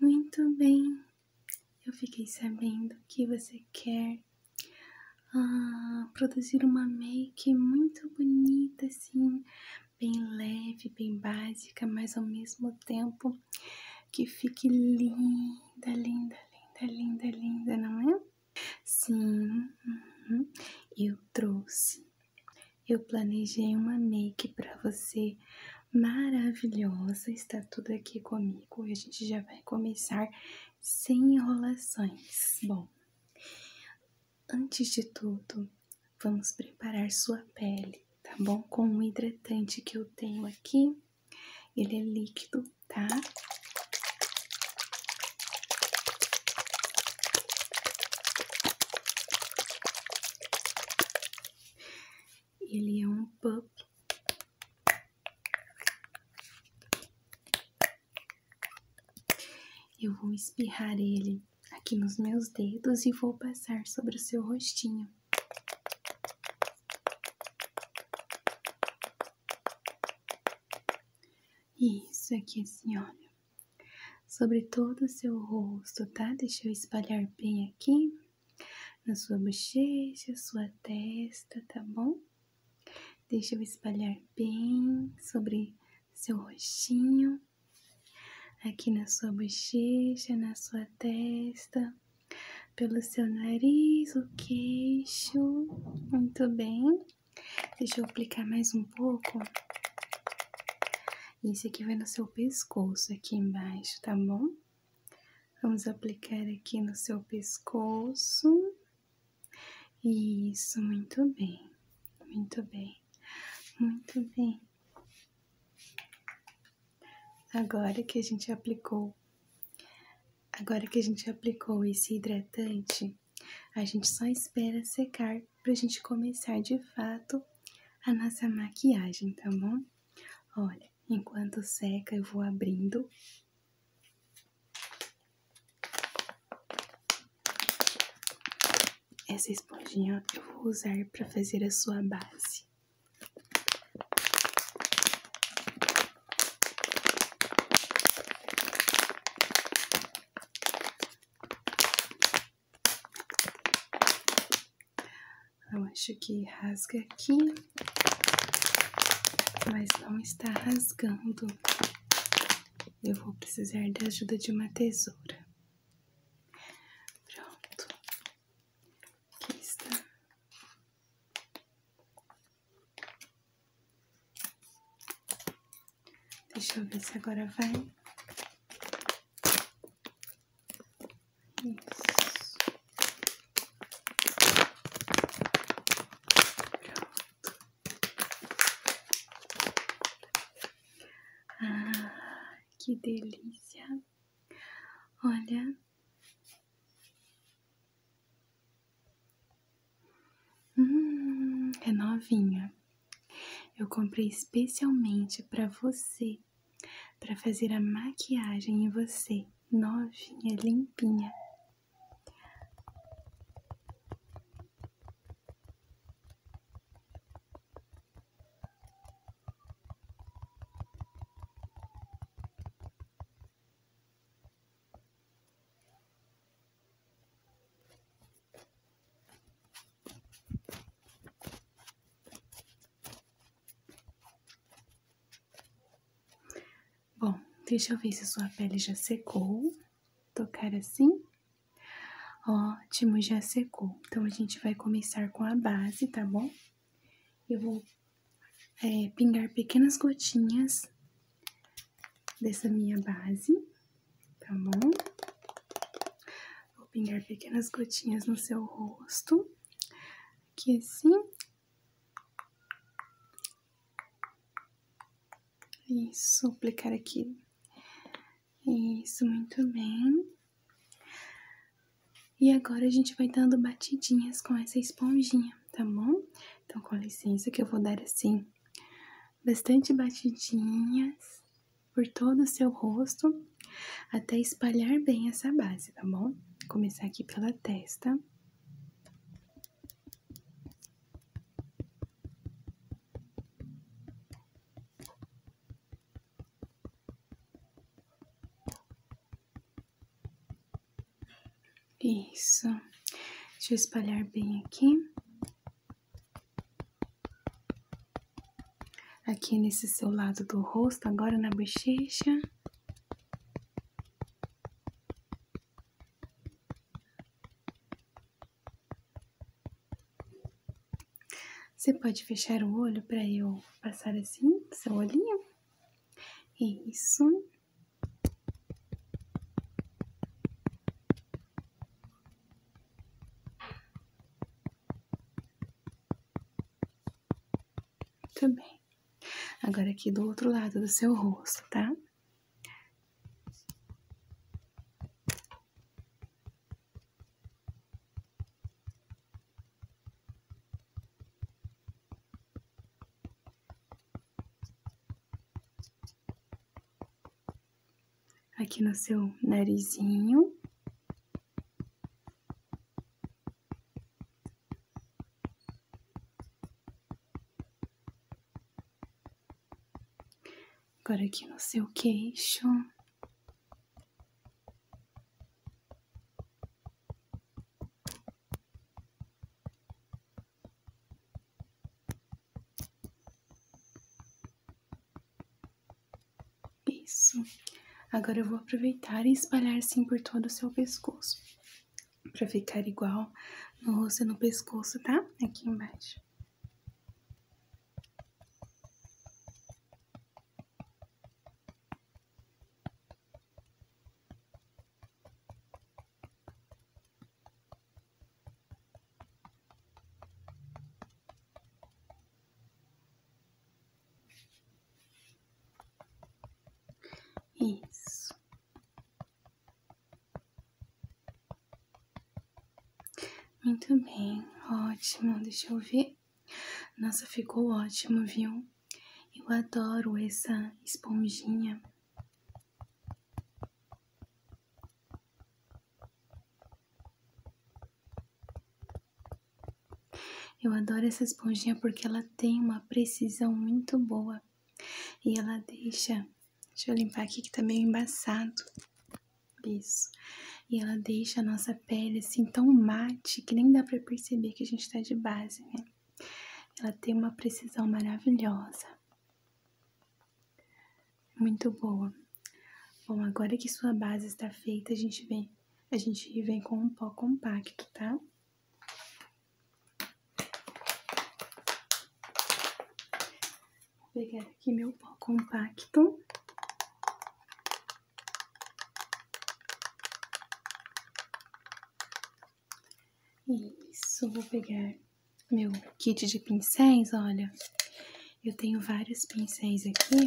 Muito bem, eu fiquei sabendo que você quer ah, produzir uma make muito bonita, assim, bem leve, bem básica, mas ao mesmo tempo que fique linda, linda, linda, linda, linda, não é? Sim, uhum. eu trouxe eu planejei uma make para você maravilhosa, está tudo aqui comigo e a gente já vai começar sem enrolações. Bom, antes de tudo, vamos preparar sua pele, tá bom? Com o hidratante que eu tenho aqui, ele é líquido, tá? Ele é um pup. Eu vou espirrar ele aqui nos meus dedos e vou passar sobre o seu rostinho. Isso aqui, senhora. Assim, sobre todo o seu rosto, tá? Deixa eu espalhar bem aqui na sua bochecha, sua testa, tá bom? Deixa eu espalhar bem sobre seu rostinho, aqui na sua bochecha, na sua testa, pelo seu nariz, o queixo. Muito bem. Deixa eu aplicar mais um pouco isso aqui vai no seu pescoço, aqui embaixo, tá bom? Vamos aplicar aqui no seu pescoço. Isso, muito bem, muito bem, muito bem. Agora que a gente aplicou, agora que a gente aplicou esse hidratante, a gente só espera secar pra gente começar de fato a nossa maquiagem, tá bom? Olha, enquanto seca, eu vou abrindo. Essa esponjinha eu vou usar para fazer a sua base. Eu acho que rasga aqui, mas não está rasgando. Eu vou precisar da ajuda de uma tesoura. Pronto, aqui está. Deixa eu ver se agora vai. Ah, que delícia. Olha. Hum, é novinha. Eu comprei especialmente para você, para fazer a maquiagem em você, novinha, limpinha. Bom, deixa eu ver se sua pele já secou. Tocar assim. Ótimo, já secou. Então, a gente vai começar com a base, tá bom? Eu vou é, pingar pequenas gotinhas dessa minha base, tá bom? Vou pingar pequenas gotinhas no seu rosto, aqui assim. Isso, aplicar aqui. Isso, muito bem. E agora a gente vai dando batidinhas com essa esponjinha, tá bom? Então, com licença que eu vou dar assim bastante batidinhas por todo o seu rosto, até espalhar bem essa base, tá bom? começar aqui pela testa. Isso. Deixa eu espalhar bem aqui. Aqui nesse seu lado do rosto, agora na bochecha. Você pode fechar o olho para eu passar assim, seu olhinho. Isso. Muito bem. Agora aqui do outro lado do seu rosto, tá? aqui no seu narizinho. Agora aqui no seu queixo. Isso. Agora eu vou aproveitar e espalhar assim por todo o seu pescoço. Pra ficar igual no rosto e no pescoço, tá? Aqui embaixo. Isso. Muito bem, ótimo. Deixa eu ver. Nossa, ficou ótimo, viu? Eu adoro essa esponjinha. Eu adoro essa esponjinha porque ela tem uma precisão muito boa e ela deixa. Deixa eu limpar aqui que tá meio embaçado. Isso. E ela deixa a nossa pele assim tão mate que nem dá pra perceber que a gente tá de base, né? Ela tem uma precisão maravilhosa. Muito boa. Bom, agora que sua base está feita, a gente vem, a gente vem com um pó compacto, tá? Vou pegar aqui meu pó compacto. Isso, vou pegar meu kit de pincéis, olha. Eu tenho vários pincéis aqui.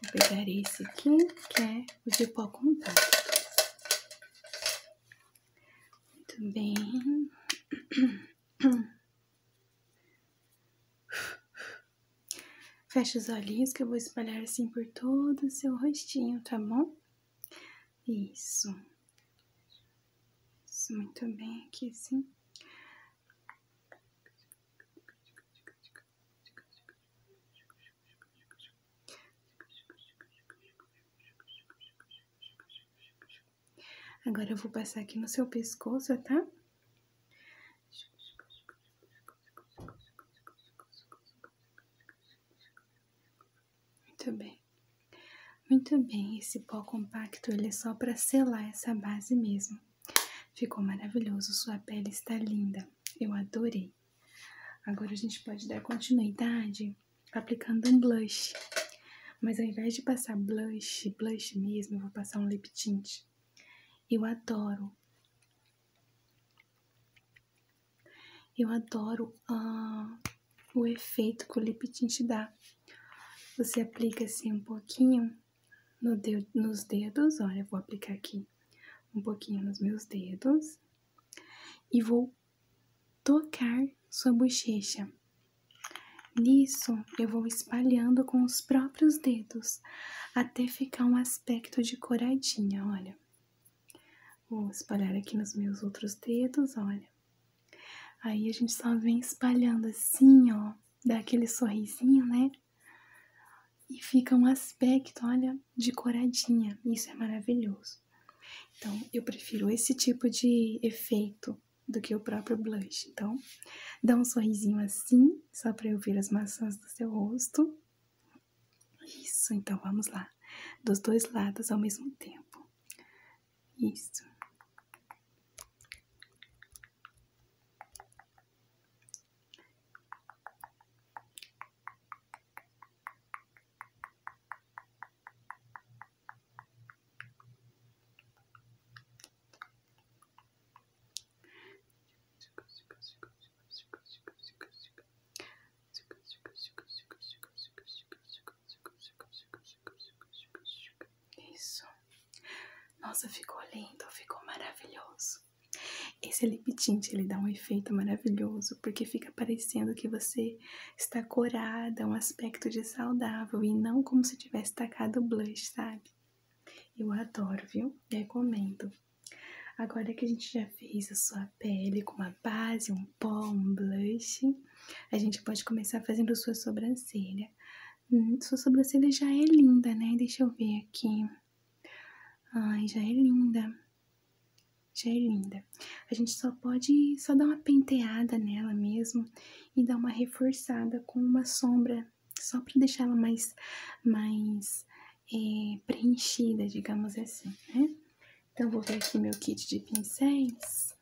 Vou pegar esse aqui, que é o de pó compacto. Muito bem. Fecha os olhinhos que eu vou espalhar assim por todo o seu rostinho, tá bom? Isso. Isso, muito bem aqui, sim. Agora eu vou passar aqui no seu pescoço, tá? Muito bem. Muito bem, esse pó compacto ele é só para selar essa base mesmo. Ficou maravilhoso, sua pele está linda. Eu adorei. Agora a gente pode dar continuidade aplicando um blush. Mas ao invés de passar blush, blush mesmo, vou passar um lip tint. Eu adoro eu adoro ah, o efeito que o lip tint dá. Você aplica assim um pouquinho nos dedos, olha, vou aplicar aqui um pouquinho nos meus dedos e vou tocar sua bochecha. Nisso, eu vou espalhando com os próprios dedos até ficar um aspecto de coradinha, olha. Vou espalhar aqui nos meus outros dedos, olha. Aí a gente só vem espalhando assim, ó, dá aquele sorrisinho, né? E fica um aspecto, olha, de coradinha. Isso é maravilhoso. Então, eu prefiro esse tipo de efeito do que o próprio blush. Então, dá um sorrisinho assim, só para eu ver as maçãs do seu rosto. Isso, então vamos lá. Dos dois lados ao mesmo tempo. Isso. Isso. Nossa, ficou lindo, ficou maravilhoso. Esse lip tint, ele dá um efeito maravilhoso, porque fica parecendo que você está corada, um aspecto de saudável, e não como se tivesse tacado blush, sabe? Eu adoro, viu? Recomendo. Agora que a gente já fez a sua pele com uma base, um pó, um blush, a gente pode começar fazendo sua sobrancelha. Hum, sua sobrancelha já é linda, né? Deixa eu ver aqui. Ai, já é linda. Já é linda. A gente só pode só dar uma penteada nela mesmo e dar uma reforçada com uma sombra só para deixar ela mais, mais é, preenchida, digamos assim, né? Então, vou ver aqui meu kit de pincéis.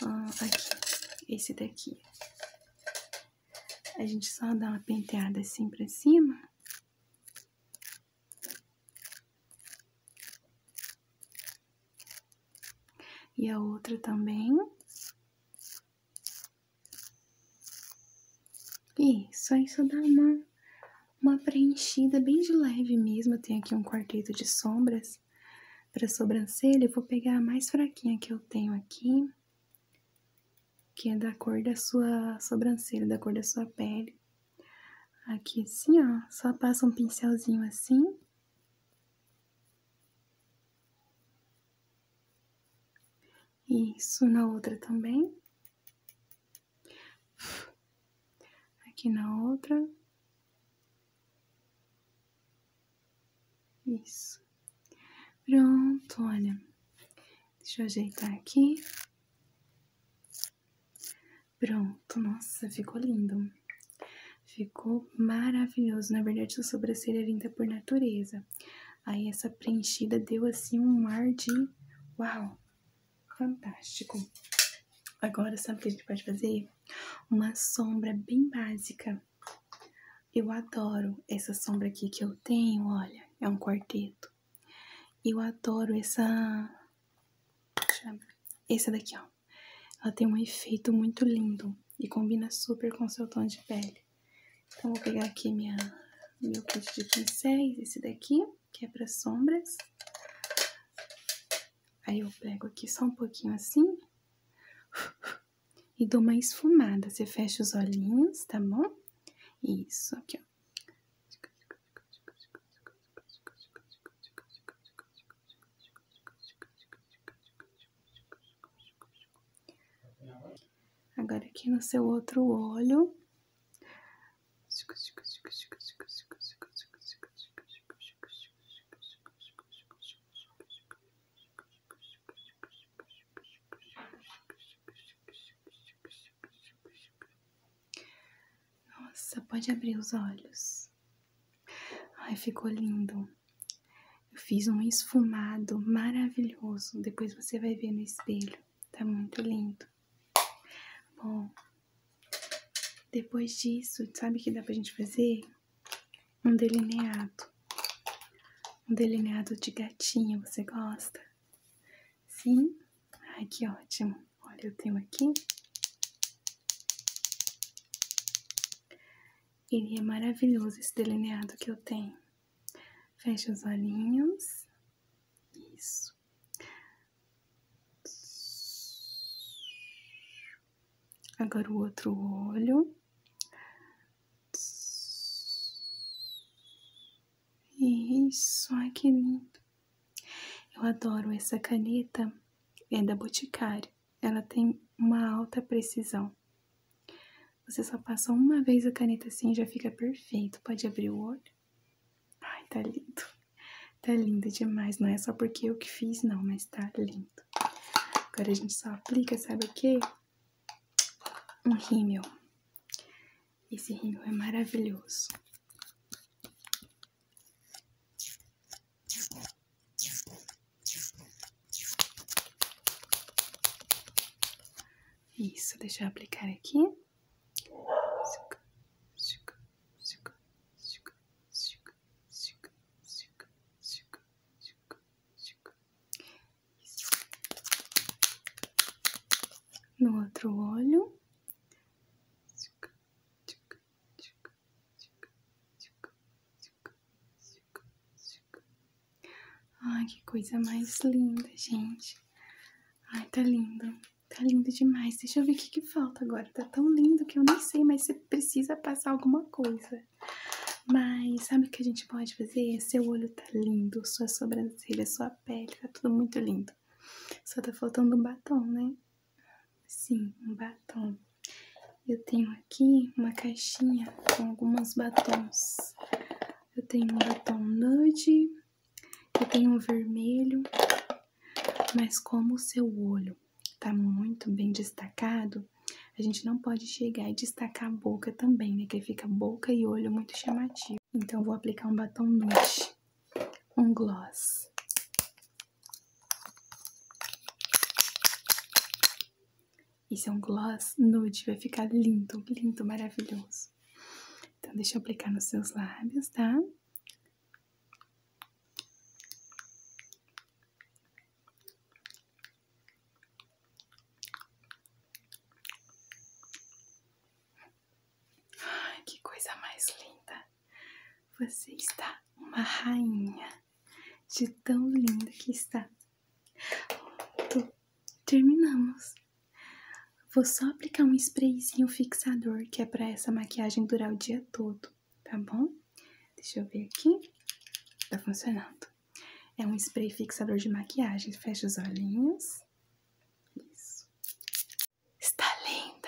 aqui, esse daqui. A gente só dá uma penteada assim pra cima. E a outra também. E só isso dá uma, uma preenchida bem de leve mesmo. Eu tenho aqui um quarteto de sombras para sobrancelha. Eu vou pegar a mais fraquinha que eu tenho aqui, que é da cor da sua sobrancelha, da cor da sua pele. Aqui assim, ó, só passa um pincelzinho assim. Isso, na outra também. Aqui na outra. Isso. Pronto, olha. Deixa eu ajeitar aqui. Pronto, nossa, ficou lindo. Ficou maravilhoso. Na verdade, sua sobrancelha é linda por natureza. Aí essa preenchida deu assim um ar de uau, fantástico. Agora sabe o que a gente pode fazer? Uma sombra bem básica. Eu adoro essa sombra aqui que eu tenho, olha, é um quarteto. Eu adoro essa essa daqui, ó. Ela tem um efeito muito lindo e combina super com seu tom de pele. Então, vou pegar aqui minha, meu kit de pincéis, esse daqui, que é para sombras. Aí eu pego aqui só um pouquinho assim e dou uma esfumada. Você fecha os olhinhos, tá bom? Isso, aqui, ó. Agora aqui no seu outro olho. Nossa, pode abrir os olhos. Ai, ficou lindo. Eu fiz um esfumado maravilhoso. Depois você vai ver no espelho. Tá muito lindo. Bom, depois disso, sabe o que dá pra gente fazer? Um delineado. Um delineado de gatinha, você gosta? Sim? Ai, que ótimo. Olha, eu tenho aqui. Ele é maravilhoso esse delineado que eu tenho. Fecha os olhinhos. Isso. Agora o outro olho. Isso, ai que lindo. Eu adoro essa caneta, é da Boticário ela tem uma alta precisão. Você só passa uma vez a caneta assim e já fica perfeito. Pode abrir o olho. Ai, tá lindo. Tá lindo demais. Não é só porque eu que fiz, não, mas tá lindo. Agora a gente só aplica, sabe o quê? Um rímel. Esse rímel é maravilhoso. Isso, deixa eu aplicar aqui. No outro olho. Tchuc, tchuc, tchuc. Ai, que coisa mais linda, gente. Ai, tá lindo. Tá lindo demais. Deixa eu ver o que, que falta agora. Tá tão lindo que eu nem sei, mas você precisa passar alguma coisa. Mas sabe o que a gente pode fazer? Seu olho tá lindo, sua sobrancelha, sua pele, tá tudo muito lindo. Só tá faltando um batom, né? Sim, um batom. Eu tenho aqui uma caixinha com alguns batons. Eu tenho um batom nude, eu tenho um vermelho, mas como o seu olho está muito bem destacado, a gente não pode chegar e destacar a boca também, né? Que fica boca e olho muito chamativo. Então, eu vou aplicar um batom nude, um gloss. Isso é um gloss nude, vai ficar lindo, lindo, maravilhoso. Então, deixa eu aplicar nos seus lábios, tá? Ai, que coisa mais linda! Você está uma rainha de tão linda que está. Pronto, terminamos. Vou só aplicar um sprayzinho fixador, que é para essa maquiagem durar o dia todo, tá bom? Deixa eu ver aqui. Tá funcionando. É um spray fixador de maquiagem. Fecha os olhinhos. Isso. Está lindo.